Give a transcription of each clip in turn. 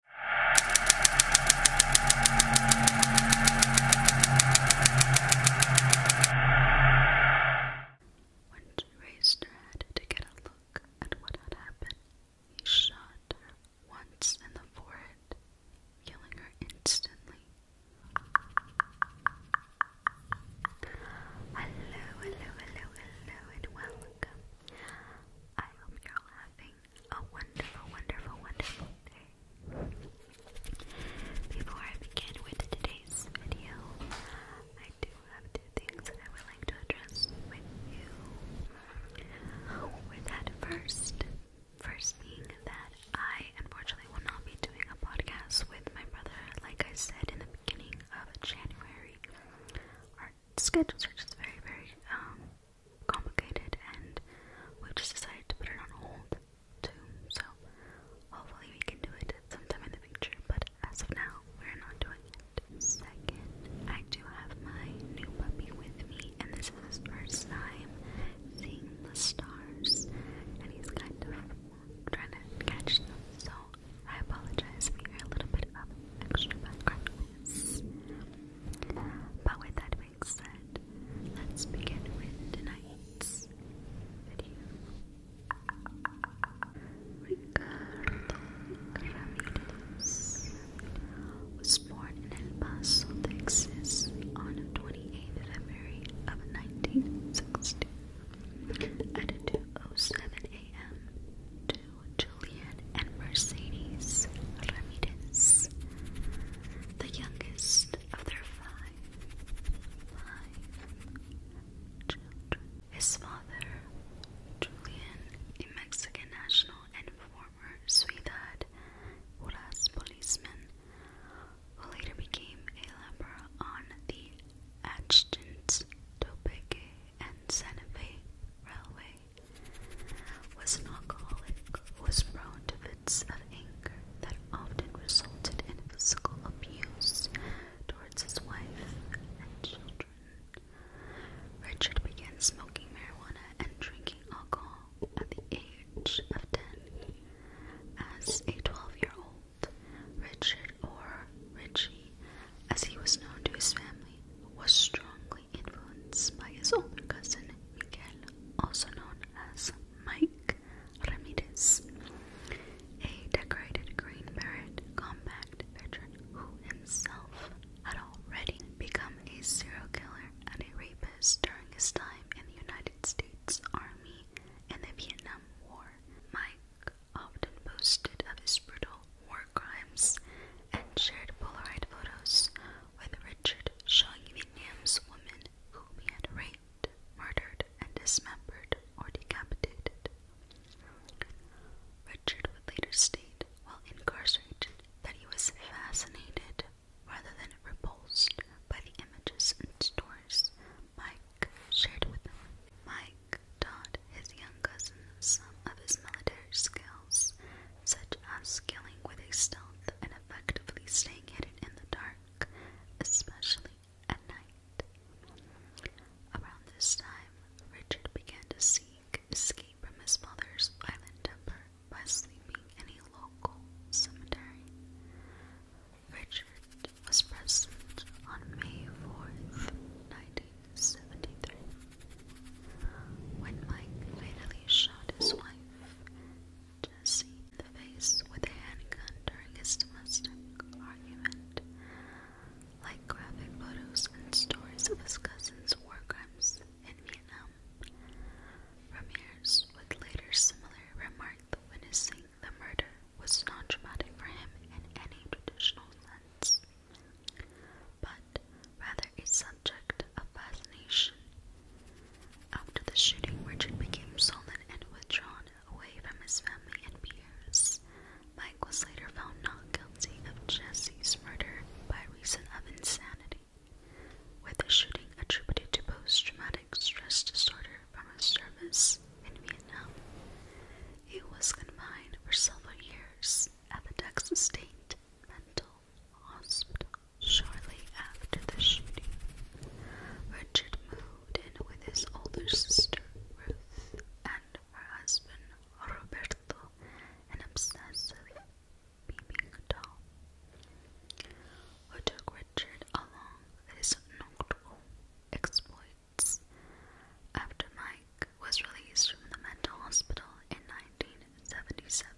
When she raised her head to get a look at what had happened, he shot her once in the forehead, killing her instantly. Hello, hello, hello, hello, and welcome. I hope you're all a wonderful, wonderful, wonderful day. Before I begin with today's video, I do have two things that I would like to address with you. With that first, first being that I unfortunately will not be doing a podcast with my brother, like I said in the beginning of January. Our schedules are just very, very um complicated and we just decided to put it on hold too. So hopefully we can do it sometime in the future, but as of now we're not doing it. Second, I do have my new puppy with me and this is his first time seeing the stars and he's kind of trying to catch them. So I apologize if a little bit of extra background noise. But with that being said, let's begin with tonight's video. Ricardo Ramirez was born in El Paso, Texas on 28 February of 1960 at 2.07 a.m. to Julian and Mercedes Ramirez, the youngest of their five, children. His father, Julian, a Mexican national and former Ciudad Juarez policeman, who later became a laborer on the Adjutant, Topeque, and Santa Railway was an alcoholic was prone to fits of anger that often resulted in physical abuse towards his wife and children. Richard began smoking marijuana and drinking alcohol at the age of 10. As a 12 year old, Richard, or Richie, as he was known to his family, was strongly Influenced by his older cousin Miguel, also known as Mike Ramirez, a decorated Green Beret combat veteran who himself had already become a serial killer and a rapist during his time in the United States Army in the Vietnam War. Mike often boasted of his brutal war crimes, and shared Polaroid photos with Richard showing Vietnam's women whom he had raped, murdered, and dismembered or decapitated. Richard would later state, while incarcerated, that he was fascinated rather than repulsed by the images and stories Mike shared with him. Mike taught his young cousin some of his military skills such as skilling with a stealth and effectively staying hidden in the dark, especially at night. Around this time, Richard began to seek escape from his mother's violent temper by sleeping in a local cemetery. Richard was present on May 4th, 19 73. When Mike fatally shot his wife, Jesse, in the face with a handgun during his domestic argument, like graphic photos and stories of his cousin's war crimes in Vietnam, Ramirez would later similarly remark that witnessing the murder was non traumatic for him in any traditional sense but rather a subject of fascination. After the shooting, Richard became sullen and withdrawn away from his family and peers. Mike was later found not guilty of Jesse's murder by reason of insanity, with the shooting attributed to post traumatic stress disorder from his service in Vietnam. He was confined for several years at the Texas State mental hospital shortly after the shooting. Richard moved in with his older sister, Ruth, and her husband, Roberto, an obsessive beaming doll, who took Richard along his nocturnal exploits. After my was released from the mental hospital in 1977.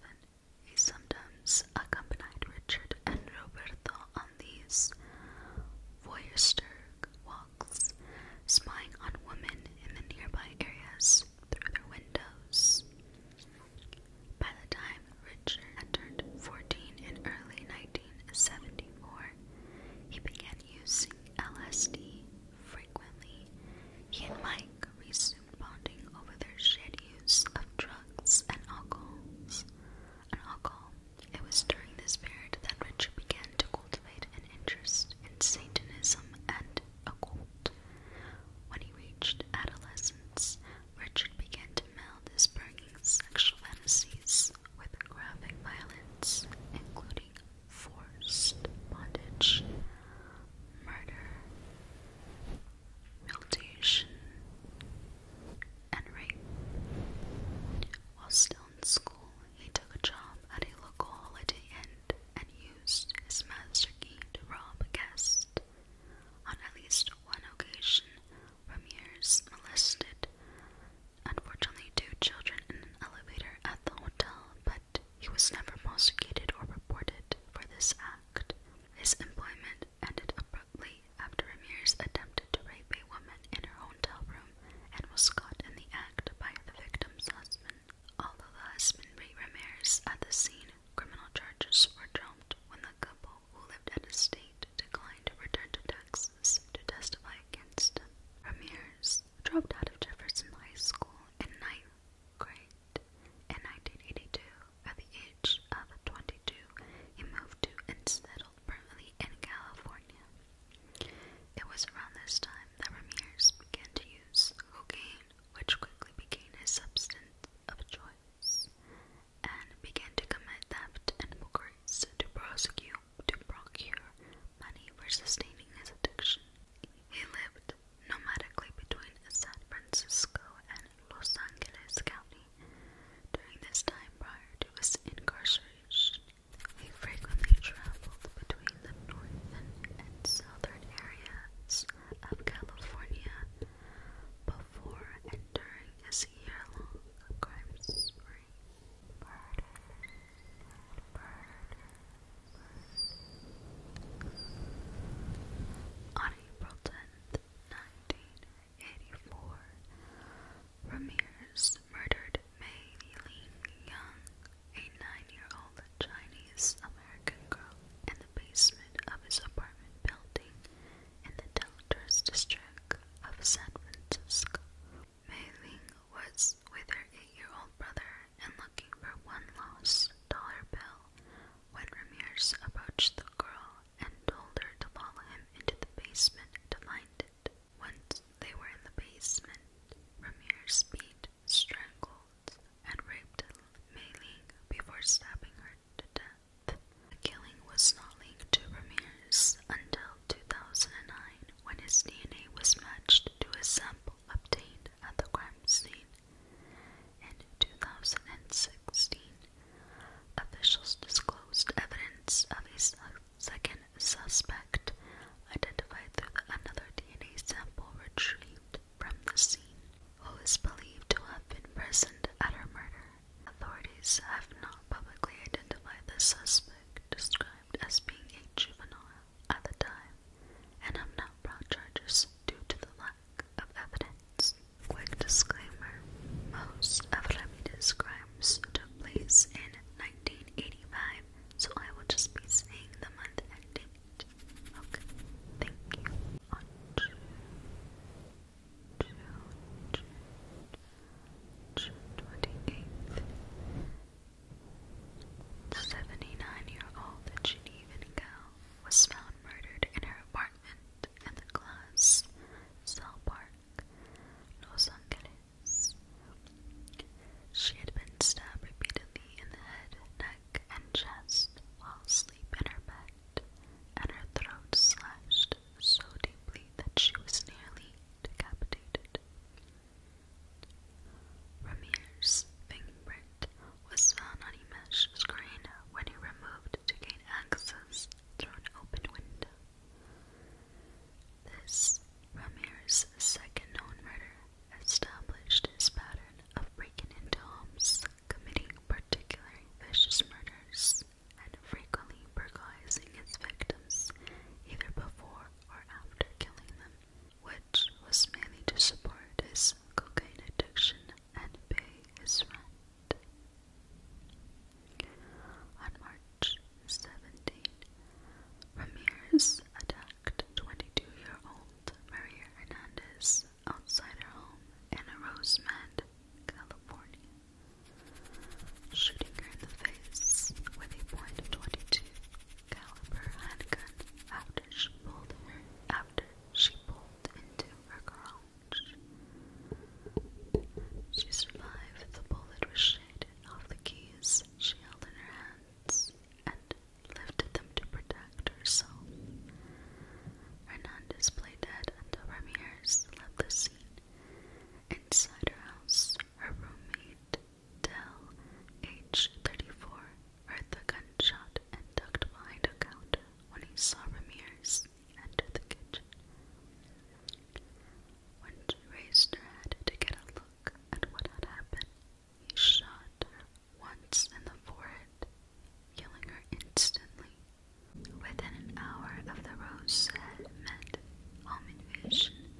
He sometimes accompanied Richard and Roberto on these voyeuristic walks, spying on women in the nearby areas through their windows. By the time Richard had turned 14 in early 1974, he began using LSD, freed frequently, he and Mike resumed bonding over their shared use of drugs and alcohols. And alcohol. It was during this period that Richard began to cultivate an interest in Satanism and occult. When he reached adolescence, Richard began to meld his burning sexual fantasies with graphic violence, including forced bondage, murder, mutilation, and rape. While still in school, he took a job at a local holiday inn and used his master key to rob a guest. On at least one occasion, Ramirez molested, and unfortunately, two children in an elevator at the hotel, but he was never prosecuted or reported for this act. His employment ended abruptly after Ramirez attempted to rape a woman in her hotel room and was caught in the act by the victim's husband. Although the husband beat Ramirez at the scene, criminal charges were dropped when the couple who lived at a state declined to return to Texas to testify against Ramirez dropped out of Jefferson High School at ninth grade. In 1982, at the age of 22, he moved to and settled permanently in California. It was around this time that Ramirez began to use cocaine, which quickly became his substance of choice, and began to commit theft and burglaries to prosecute to procure money for sustaining his addiction. He lived nomadically between San Francisco and Los Angeles County. During this time prior to his incarceration, he frequently traveled between the northern and southern areas of California before and during his year-long crime spree. On April 10th, 1984, Ramirez murdered Mei Ling Young, a nine-year-old Chinese-American girl, in the basement of his apartment building in the Deltas district of San Francisco. Mei Ling was with her eight-year-old brother and looking for one lost dollar bill when Ramirez approached the girl and told her to follow him into the basement to find it. Once they were in the basement, Ramirez beat, strangled, and raped Mei before stabbing her to death. The killing was not linked to Ramirez until 2009 when his DNA was matched to a sample obtained at the crime scene. In 2016, officials disclosed evidence of a second suspect identified through another DNA sample retrieved from the scene, who is believed to have been present at her murder. Authorities have not publicly identified the suspect, described as being a juvenile at the time and have not brought charges due to the lack of evidence. Quick disclaimer most of Ramirez's crimes took place in 1985, so I will just be saying the month and date. Okay, thank you. On June, June, 79-year-old Genevieve Nicole was found murdered in her apartment at the Glass Cell Park, Los Angeles. She had been stabbed repeatedly in the head, neck, and chest while asleep in her bed, and her throat slashed so deeply that she was nearly decapitated. Ramir's fingerprint was found on Emesh's screen when he removed to gain access through an open window. This, Ramir's second known murder, established his pattern of breaking into homes, committing particularly vicious murders, and frequently burglarizing his victims either before or after killing them which was mainly to support his cocaine addiction and pay his rent. On March 17, Ramirez attacked 22-year-old Maria Hernandez outside her home in Rosemond, California, shooting her in the face with a .22 caliber handgun after she pulled after she pulled into her garage. She survived the bullet was ricocheted off the keys she held in her hands and lifted them to protect herself. Hernandez played dead until Ramirez left the scene. Inside her house, her roommate Dell, age 34, heard the gunshot and ducked behind a counter when he saw Ramirez enter the kitchen. When she raised her head to get a look at what had happened, he shot once in the forehead, killing her instantly. Within an hour of the Rose Head Med home invasion,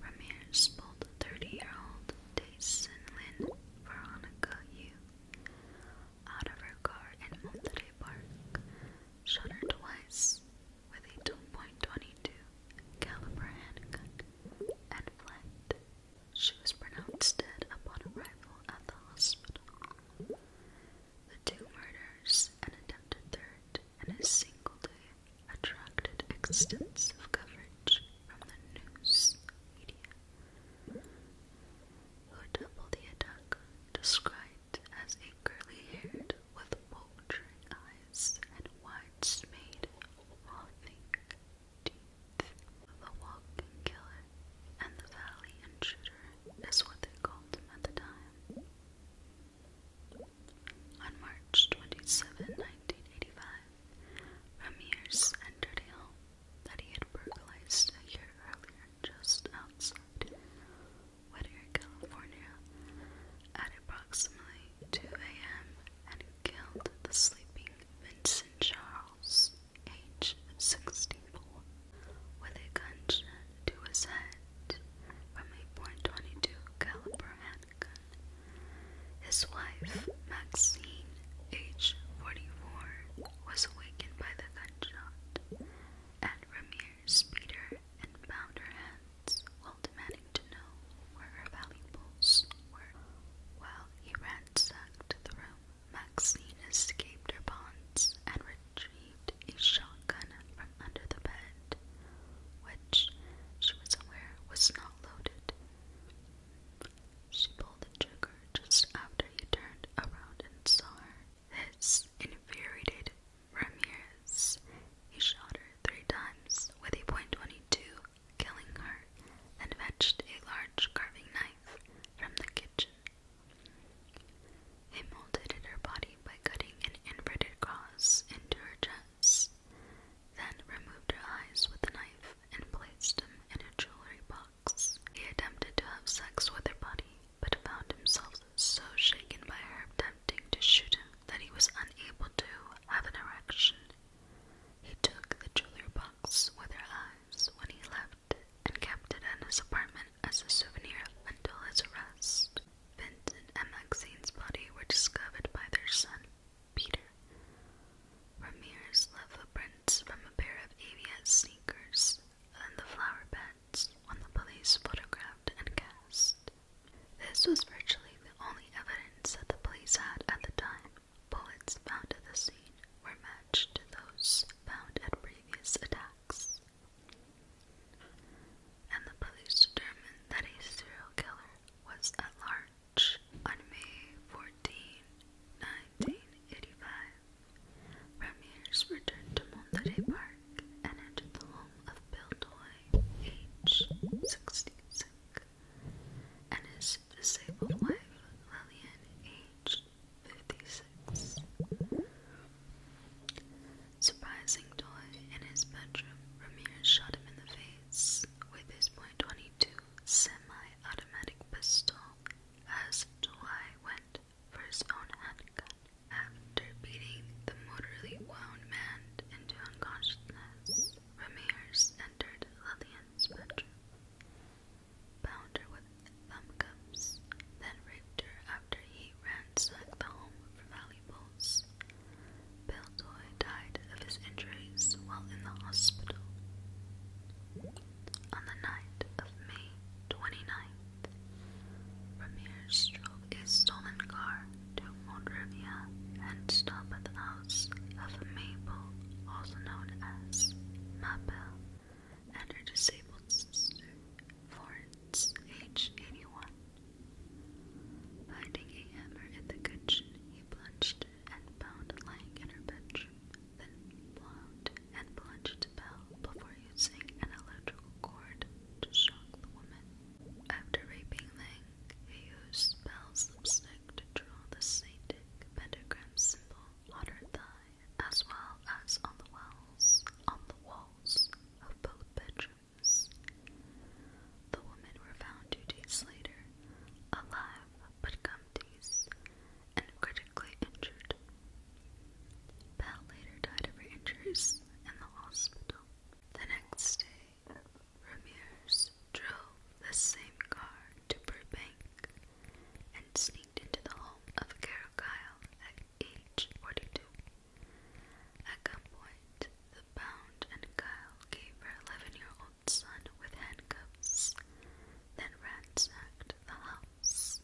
Ramirez pulled a 30 year old Jason Lynn Veronica Yu out of her car in Monterey Park, shot her twice with a 2.22 caliber handgun, and fled. She was pronounced dead upon arrival at the hospital. The two murders, an attempted third, and a single day attracted extensive coverage from the news media, who doubled the attack described as a curly-haired with bulging eyes and wide-smeared, rotting teeth. The walking killer and the valley intruder is what they called him at the time. On March 27, 1985, Ramirez entered a home that he had burglarized a year earlier just outside Whittier, California at approximately 2 a.m. and killed the sleeping Vincent Charles, age 64, with a gunshot to his head from a .22 caliber handgun. His wife, Maxine, aged 44, was awakened by the gunshot, and Ramirez beat her and bound her hands while demanding to know where her valuables were. While he ransacked the room, Maxine escaped her bonds and retrieved a shotgun from under the bed, which she was aware was not loaded. She pulled the trigger just after he turned around and saw her. This infuriated Ramirez. He shot her three times with a .22, killing her, and fetched a large carving knife from the kitchen. He mutilated her body by cutting an inverted cross into her chest then removed her eyes with a knife and placed them in a jewelry box. He attempted to have sex with her body, but found himself so shaken by her attempting to shoot him that he was unable to have an erection. He took the jewelry box with her eyes when he left and kept it in his apartment as a souvenir until his arrest. Vincent and Maxine's body were discovered by their son Peter. Ramirez left footprints from a pair of ABS sneakers and the flower beds when the police photographed and cast. This was virtually the only evidence that the police had at the time. Bullets found at the scene were matched to those found at previous attacks. And the police determined that a serial killer was at large on May 14, 1985. Ramirez returned to Monterey Park and entered the home of Bill Toy, age 66, and his disabled wife, Lillian, age 56. Surprising Toy in his bedroom, Ramirez shot him in the face with his .22 semi-automatic pistol as July went for his own handgun. After beating the mortally wound man into unconsciousness, Ramirez entered Lillian's bedroom, bound her with thumb then raped her after he ransacked the home for valuables. Bolts. died of his injuries while in the hospital. On the night of May 29th, Ramir drove a stolen car to Monrovia and stopped at the house of Mabel, also known as Mabel, and her disabled sister, Florence, age 81. Finding a hammer in the kitchen, he plunged and found lying in her bedroom, then blown and plunged Bell before using an electrical cord to shock the woman. After raping Lang, he used Bell's lipstick to draw the saintic pentagram symbol on her thigh, as well as on the walls, on the walls of both bedrooms. The women were found two days later, alive but gumdies, and critically injured. Bell later died of her injuries in the hospital. The next day, Ramirez drove the same car to Burbank and sneaked into the home of Carol Kyle at age 42. At gunpoint, the Bound and Guile gave her eleven year old son with handcuffs, then ransacked the house.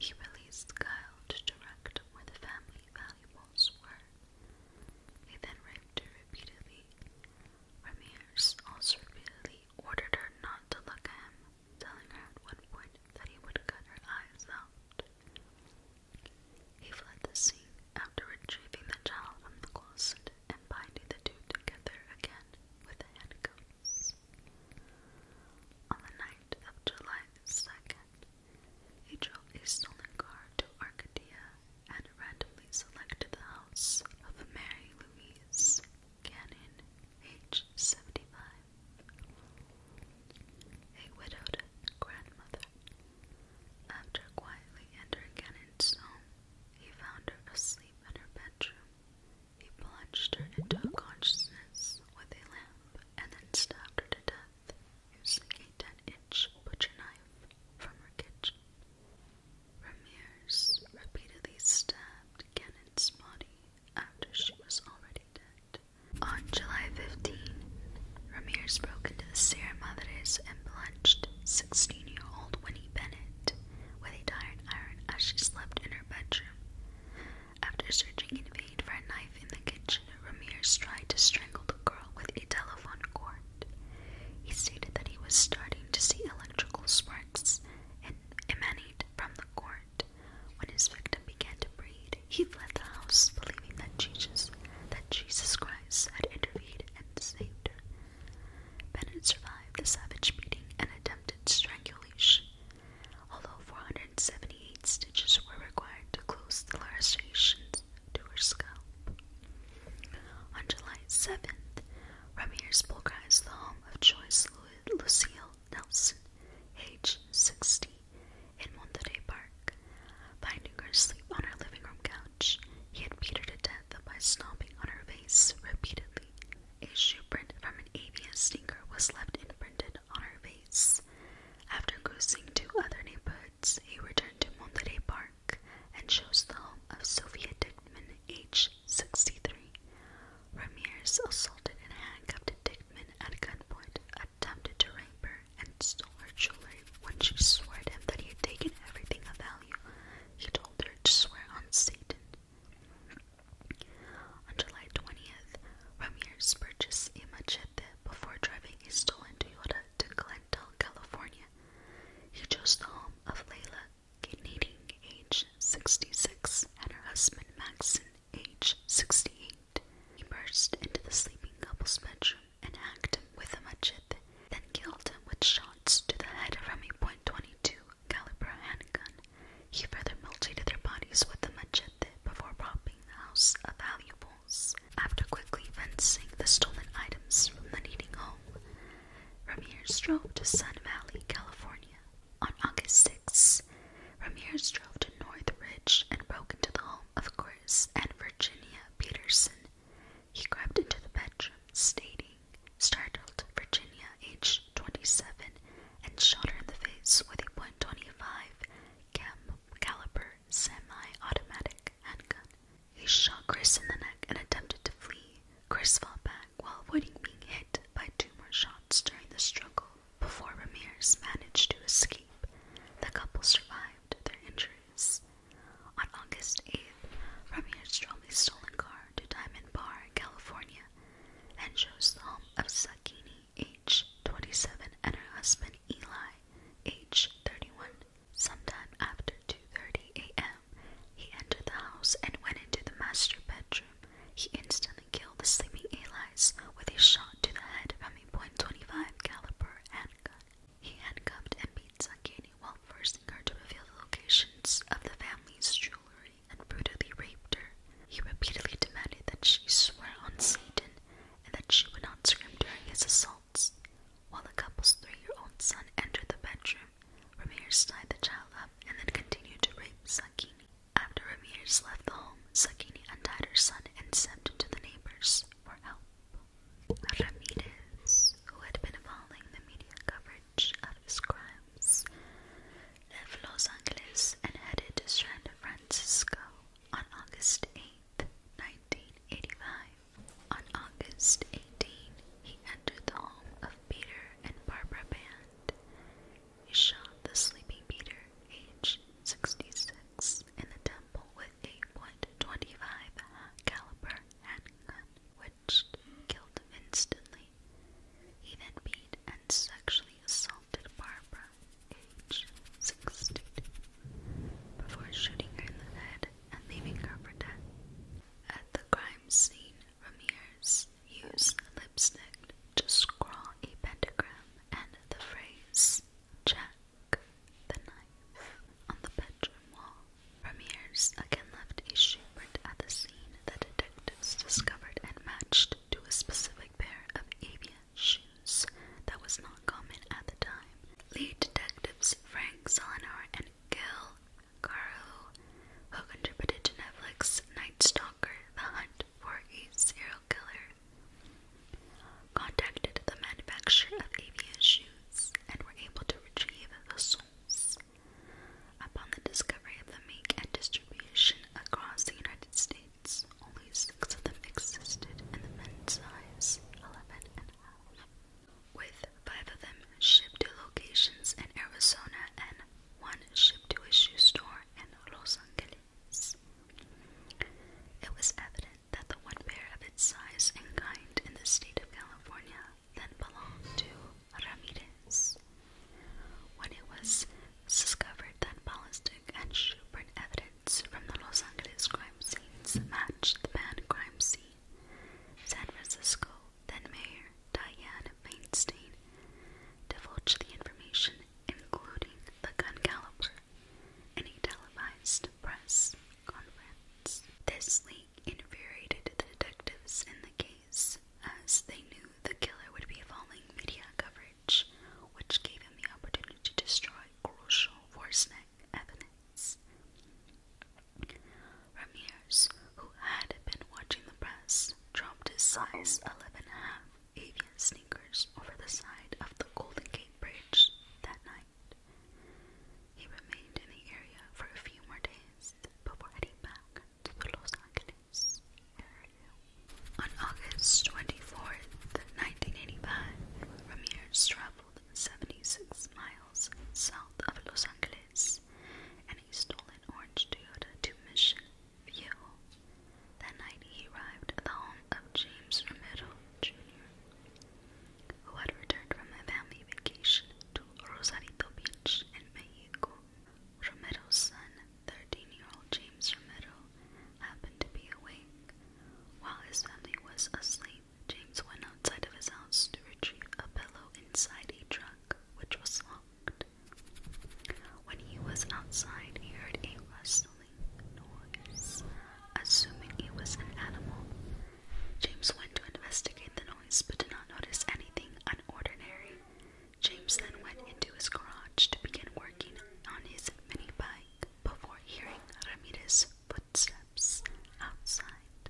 He released Guile to direct where the family valuables were. They then raped her repeatedly. Ramirez also repeatedly ordered her not to look at him, telling her at one point that he would cut her eyes out. He fled the scene after retrieving the child from the closet and binding the two together again with the handcuffs. On the night of July 2nd, he drove a stolen car to Arcadia and randomly selected the house of Mary Louise Cannon, age 75, a widowed grandmother after quietly entering Cannon's home, he found her asleep in her bedroom. He plunged her into unconsciousness with a lamp and then stabbed her to death using a 10-inch butcher knife from her kitchen. Ramirez repeatedly stabbed Cannon's body after she was already dead. On July 15, Ramirez broke into the Sierra Madres and plunged 16 year old Winnie Bennett with a tired iron as she slept in her bedroom. After searching in vain for a knife in the kitchen, Ramirez tried to strangle the girl with a telephone cord. He stated that he was starting to see electrical sparks emanate from the cord. When his victim began to breathe, he fled the house, believing that Jesus, that Jesus Christ had intervened and saved Bennett survived a savage beating and attempted strangulation, although 478 stitches were required to close the lacerations to her scalp. On July 7th, Ramirez bulgarized the home of Joyce Lucille Nelson, H. 60, in Monterey Park, Finding her asleep on her living room couch, he had beat her to death by stomping on her face repeatedly. A shoe print from an AVS sneaker was left imprinted on her face. After cruising two other neighborhoods, he returned to Monterey Park and chose the home of Sylvia Dickman, age 63. Ramirez assaulted and handcuffed Dickman at gunpoint, attempted to rape her, and stole her jewelry. When she swore at him that he had taken everything of value, he told her to swear on Satan. On July 20th, Ramirez purchased a machete before driving his stolen Toyota to Glendale, California. He chose the home of Layla Canadian, age 66, and her husband Maxon, age 68. He burst into the sleeping couple's bedroom and hacked him with a machete, then killed him with shots to the head from a .22 caliber handgun. He further mutilated their bodies with a machete before robbing the house of valuables. After quickly fencing the stolen items from the needing home, Ramirez drove to Sun Valley, California. On August 6, Ramirez drove to Northridge and broke into the home of Chris and Virginia Peterson, he crept into the bedroom, stating, startled Virginia, aged 27, and shot her in the face with a .25 caliber semi-automatic handgun. He shot Chris in the neck and attempted to flee. Chris fell back while avoiding being hit by two more shots during the struggle before Ramirez managed to escape. The couple survived their injuries. On August 8th, Premier Stromey's stolen car to Diamond Bar, California, and shows the home of Sakini, H 27, and her husband Eli, H 31. Sometime after 2:30 a.m., he entered the house and went into the master bedroom. He instantly killed the sleeping Eli's with a shot to the head from a .25 caliber handgun. He had handcuffed and beat Sankeni while forcing her to reveal the locations of the family's jewelry and brutally raped her. He repeatedly demanded that she swear on Satan and that she would not scream during his assaults. While the couple's three-year-old son entered the bedroom, Ramirez tied the child up and then continued to rape Sakini. After Ramirez left the home, Sakini untied her son and stepped to the neighbors for help. Ramirez, who had been following the media coverage of his crimes, left Los Angeles and headed to San Francisco on August 8, 1985. On August 18, he entered the home of Peter and Barbara Band. He shot the sleeping Peter, age 66, attacks in the temple with a .25 caliber handgun, which killed instantly. He then beat and sexually assaulted Barbara, age 62, before shooting her in the head and leaving her for dead. At the crime scene, Ramirez used lipstick to scrawl a pentagram and the phrase, Jack the knife on the bedroom wall. Ramirez again left a shoeprint at the scene that detectives discovered and matched to a specific pair of avian shoes that was not common at the time. Lead detectives Frank Selenar and Gil Carlo, who contributed to Netflix Night Stalker, The Hunt for a Serial Killer, contacted the manufacturer of avian shoes and were able to retrieve the soles. Upon the discovery of the make and distribution across the United States, only six of them existed in the men's size 11 and a half, with five of them shipped to locations in Arizona and one shipped to a shoe store in Los Angeles. It was evident that the one pair of its size and kind in the state of California then belonged to Ramirez. When it was discovered that ballistic and shoeprint evidence from the Los Angeles crime scenes matched the banned crime scene, San Francisco then Mayor Diane Feinstein divulged the information, including the gun caliber in televised press conference. This leak infuriated the detectives in the case, as they knew the killer would be following media coverage, which gave him the opportunity to destroy crucial Forsnick evidence. Ramirez, who had been watching the press, dropped his size 11 half avian sneakers over the side of the Golden Gate Bridge that night. He remained in the area for a few more days before heading back to the Los Angeles area. On August 24th, 1985, Ramirez traveled 76 miles south of Los Angeles and he stole an orange Toyota to Mission View. That night, he arrived at the home of James Romero Jr who had returned from a family vacation to Rosarito Beach in Mexico. Romero's son, 13 year old James Romero, happened to be awake. While his family was asleep, James went outside of his house to retrieve a pillow inside a truck which was locked. When he was outside, he heard a rustle assuming it was an animal. James went to investigate the noise but did not notice anything unordinary. James then went into his garage to begin working on his mini bike before hearing Ramirez's footsteps outside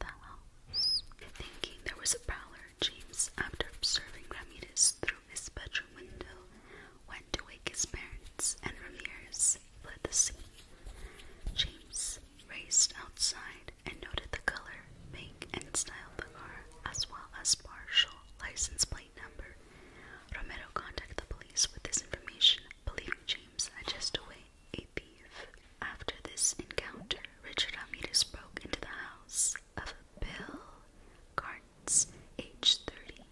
the house. Thinking there was a prowler, James, after observing Ramirez through his bedroom window, went to wake his parents, and Ramirez fled the scene. James raced outside and noted the color, make, and style of the car, as well as partial license plate number. Romero contacted the police with this information, believing James had just away a thief. After this encounter, Richard Ramirez broke into the house of Bill Carnes, age 30,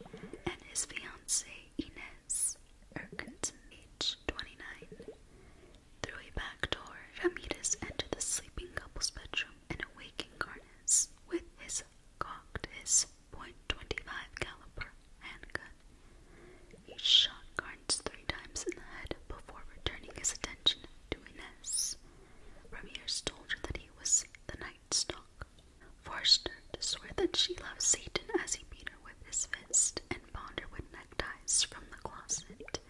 and his fiancee Inez, Erkinson, age 29, through a back door. Ramirez entered the sleeping couple's bedroom in a waking with his cocked .25 caliber handgun. He shot Carnes three times in the head before returning his attention to Inez. Ramirez told her that he was the night stalk Forster swore that she loved Satan as he beat her with his fist and bound her with neckties from the closet.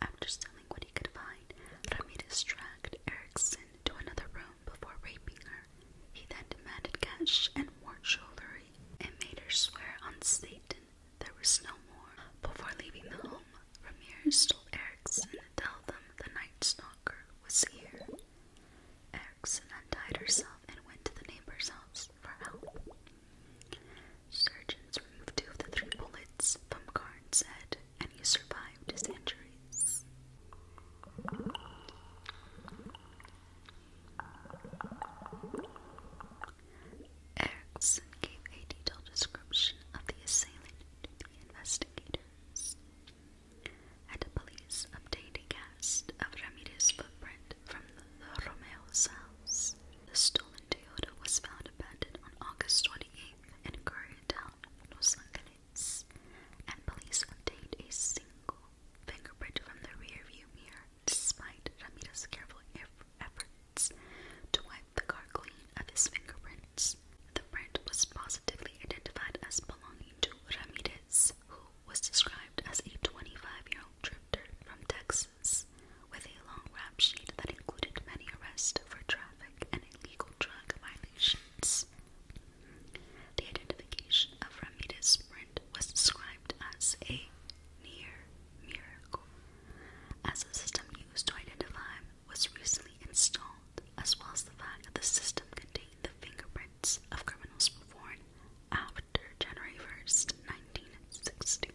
After stealing what he could find, Ramirez dragged Erickson to another room before raping her. He then demanded cash and more jewelry and made her swear on Satan there was no more. Before leaving the home, Ramirez told Erickson and told them the night stalker was here. Erickson untied herself and went to the neighbor's house for help. Surgeons removed two of the three bullets from Karn's head, and he survived his injuries. Erickson gave a detailed description of the assailant to the investigators and the police obtained a cast of Ramirez's footprint from the Romeo's house. The stolen Toyota was found abandoned on August 28th in Koreatown, Los Angeles, and police obtained a single fingerprint from the rearview mirror despite Ramirez's careful efforts to wipe the car clean of his fingerprints. The print was positively identified as belonging to Ramirez, who was described as a 25 year old drifter from Texas with a long rap sheet that included many arrests for traffic and illegal drug violations. The identification of Ramirez Brent was described as a near miracle, as the system used to identify was recently installed, as well as the fact that the system contained the fingerprints of criminals born after January 1st, 1960,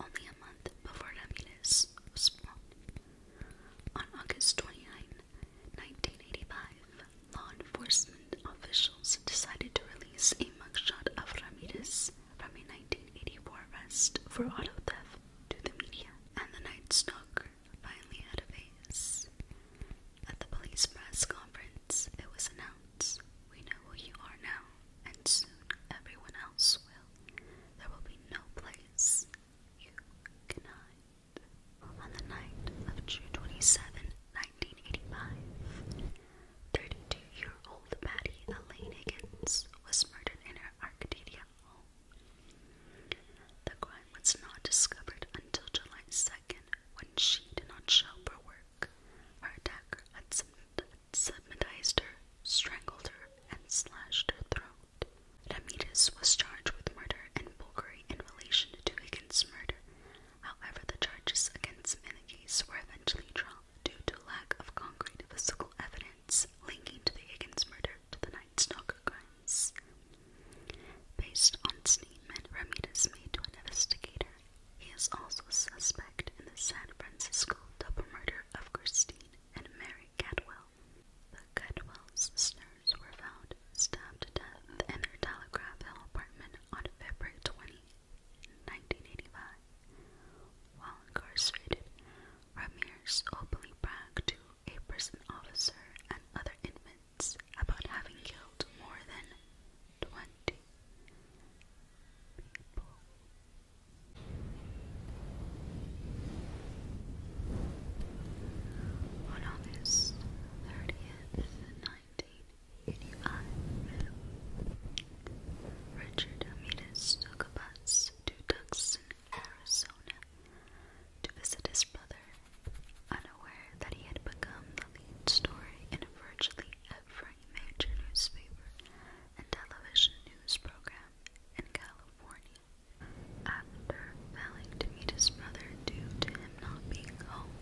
only a month before Ramirez was born. On August 29, 1985, law enforcement officials decided to release a mugshot of Ramirez from a 1984 arrest for auto theft to the media, and the Night Stalker finally had a face. At the police press conference, it was announced We know who you are now, and soon everyone else will. There will be no place you can hide. On the night of June 27, year old Patty Elaine Higgins was murdered in her Arcadia home was not discovered until July 2nd when she did not show for work. Her attacker had submitized her, strangled her, and slashed her throat. Ramirez was charged with murder and burglary in relation to Higgins' murder. However, the charges against him were eventually dropped due to lack of concrete physical evidence linking to the Higgins murder to the Night Stalker crime. Based on statement Ramirez made to an investigator, he is also a suspect in the San Francisco double murder of Christine and Mary Cadwell. The Cadwell's sisters were found stabbed to death in their Telegraph Hill apartment on February 20, 1985. While incarcerated, Ramirez openly bragged to a prison officer and other inmates complaints about having killed more than 20 people. On August 30th, 1985, Richard Amidas took a bus to Tucson, Arizona to visit his brother unaware that he had become the lead story in virtually every major newspaper and television news program in California. After failing to meet his brother due to him not being home,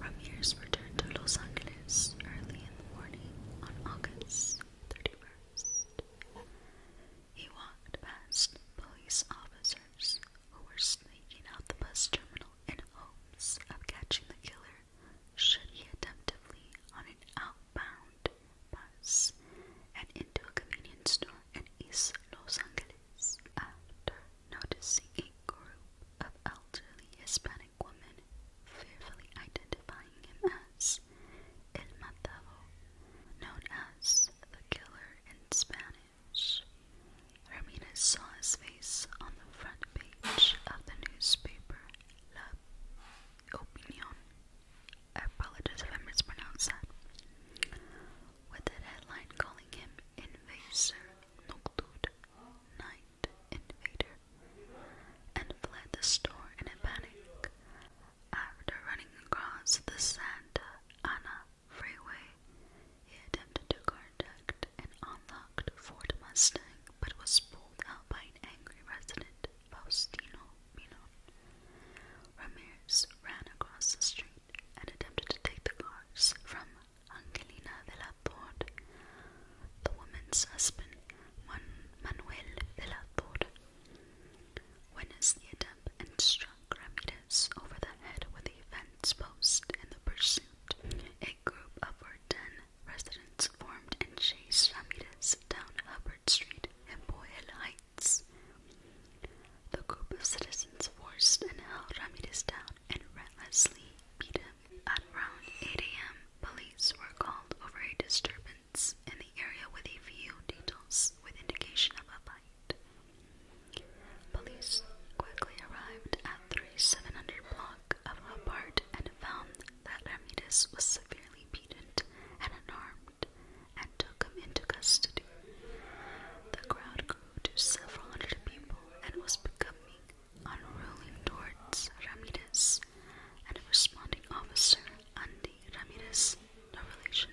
Ramirez returned to Los Angeles early in the morning on August 31st. He walked past police officers who were sneaking out the bus terminal in hopes of catching the killer should he attempt to flee on an outbound bus and into a convenience store in East Los Angeles. After noticing a group of elderly Hispanic women fearfully identifying him as El Matado, known as the killer in Spanish. Spanish. Ramirez saw his face on the front page of the newspaper La Opinion. I apologize if I mispronounced that. With a headline calling him Invaser Nocturne, Night Invader, and fled the store in a panic after running across the Santa Ana freeway, he attempted to contact an unlocked Ford Mustang but was pulled out by an angry resident, Faustino Minon. Ramirez ran across the street and attempted to take the cars from Angelina de la Torre, the woman's husband, Man Manuel de la Torre. Witnessed the attempt and struck Grammidas over the head with a fence post in the pursuit. A group of over ten residents formed and chased Grammidas down Hubbard Street and Boyle Heights. The group of citizens forced and held Ramirez down and relentlessly beat him. At around 8 a.m., police were called over a disturbance in the area with a few details with indication of a fight. Police quickly arrived at 3700 block of Hobart and found that Ramirez was severely beaten and unarmed and took him into custody. The crowd grew to several hundred people and was becoming unruly towards Ramirez, and a responding officer, Andy Ramirez, no relation,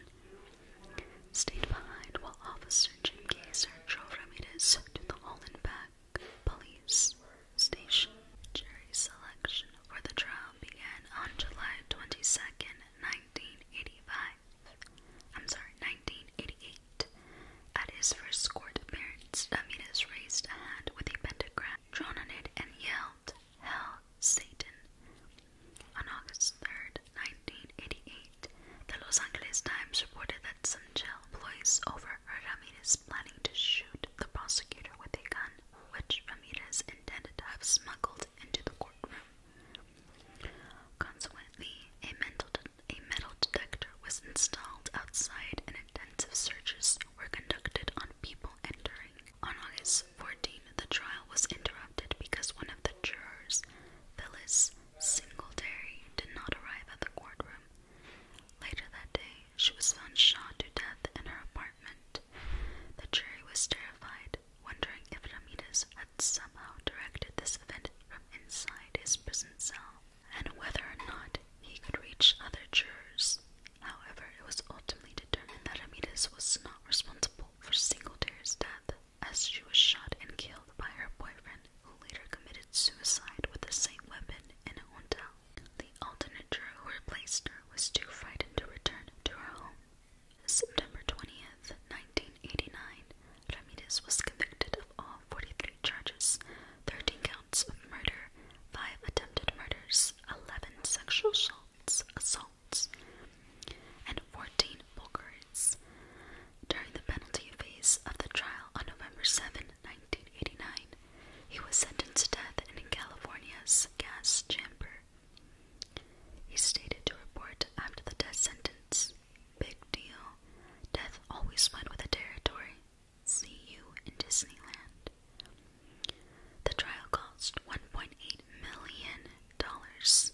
Stayed behind while Officer Jim Kaiser drove Ramirez to the Hollenbeck Police Station. Jury selection for the trial began on July 22, 1985. I'm sorry, 1988. At his first court appearance, Ramirez raised a hand with a pentagram, drawn on it, and yelled, Hell, Satan. On August 3, 1988, the Los Angeles Times reported that Sanchel employees over Ramirez planning to shoot the prosecutor with a gun, which Ramirez intended to have smuggled into the courtroom. Consequently, a a metal detector was installed outside, and intensive searches were conducted on people entering. On August 14, the trial was interrupted because one of the jurors, Phyllis Singletary did not arrive at the courtroom. Later that day, she was found shot to death in her apartment. The jury was terrified, wondering if Amidas had somehow directed this event from inside his prison cell, and whether or not he could reach other jurors. However, it was ultimately determined that Amidas was not responsible for Singletary's death as she was shot and killed by her boyfriend, who later committed suicide with the same weapon in a hotel. The alternate juror who replaced her was too frightened to return to her home. September 20th, 1989, Ramirez was convicted of all 43 charges, 13 counts of murder, 5 attempted murders, 11 sexual assaults, assaults and 14 burglaries. During the penalty phase of the trial on November 7, he was sentenced to death in California's gas chamber. He stated to report after the death sentence Big deal. Death always went with the territory. See you in Disneyland. The trial cost $1.8 Dollars,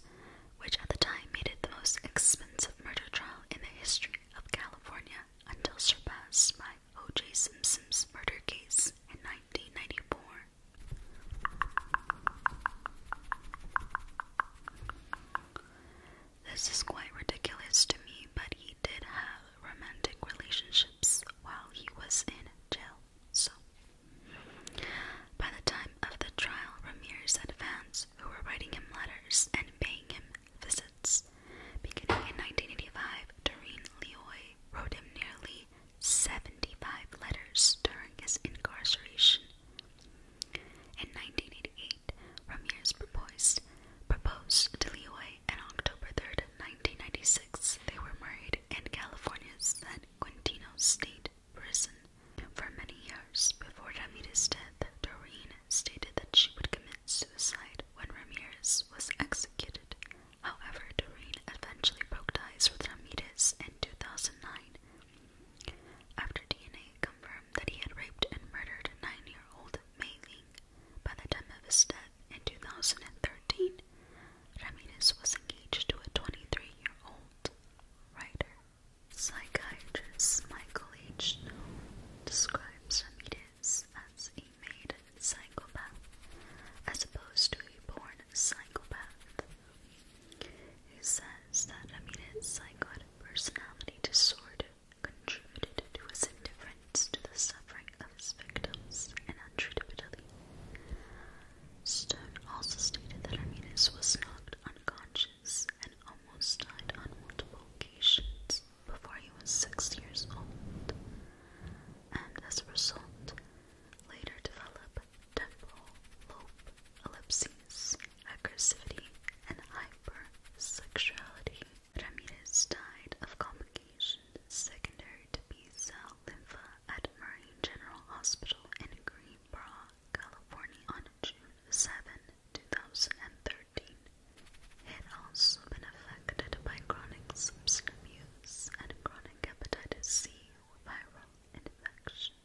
which at the time made it the most expensive murder trial in the history of California until surpassed by O.J. Simpson's murder case in 1994. This is quite ridiculous to me, but he did have romantic relationships while he was in jail, so by the time of the trial, Ramirez had fans who were writing him letters and paying him visits. Beginning in 1985, Doreen Leoy wrote him nearly 75 letters during his incarceration. In 1988, Ramirez proposed, to Leoy, and October third, 1996, they were married in California's San Quintino State prison for many years. Before Ramirez's death, Doreen stated that she would commit suicide when Ramirez was executed. However, Doreen eventually broke ties with Ramirez in 2009 after DNA confirmed that he had raped and murdered nine-year-old Mei Ling. By the time of his death in 2013, Ramirez was engaged to a 23-year-old writer. Psychiatrist Michael H. Noll describes Ramirez as a made psychopath as opposed to a born psychopath. He says that Ramirez's psychotic personality disorder contributed to his indifference to the suffering of his victims and untreated untreatability. Stone also stated that Ramirez was not on unconscious and almost died on multiple occasions before he was six years old, and as a result, later developed temporal lobe ellipses, aggressivity, and hypersexuality. Ramirez died of complications secondary to B-cell lympha at Marine General Hospital in Greenboro, California on June 7, 2013. It also been affected by chronic substance abuse and chronic hepatitis C viral infection.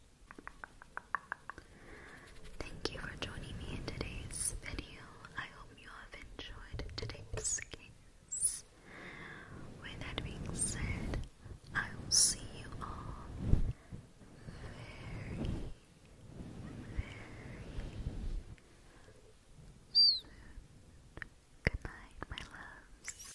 Thank you for joining me in today's video. I hope you have enjoyed today's case. With that being said, I will see you all soon. Good night, my loves.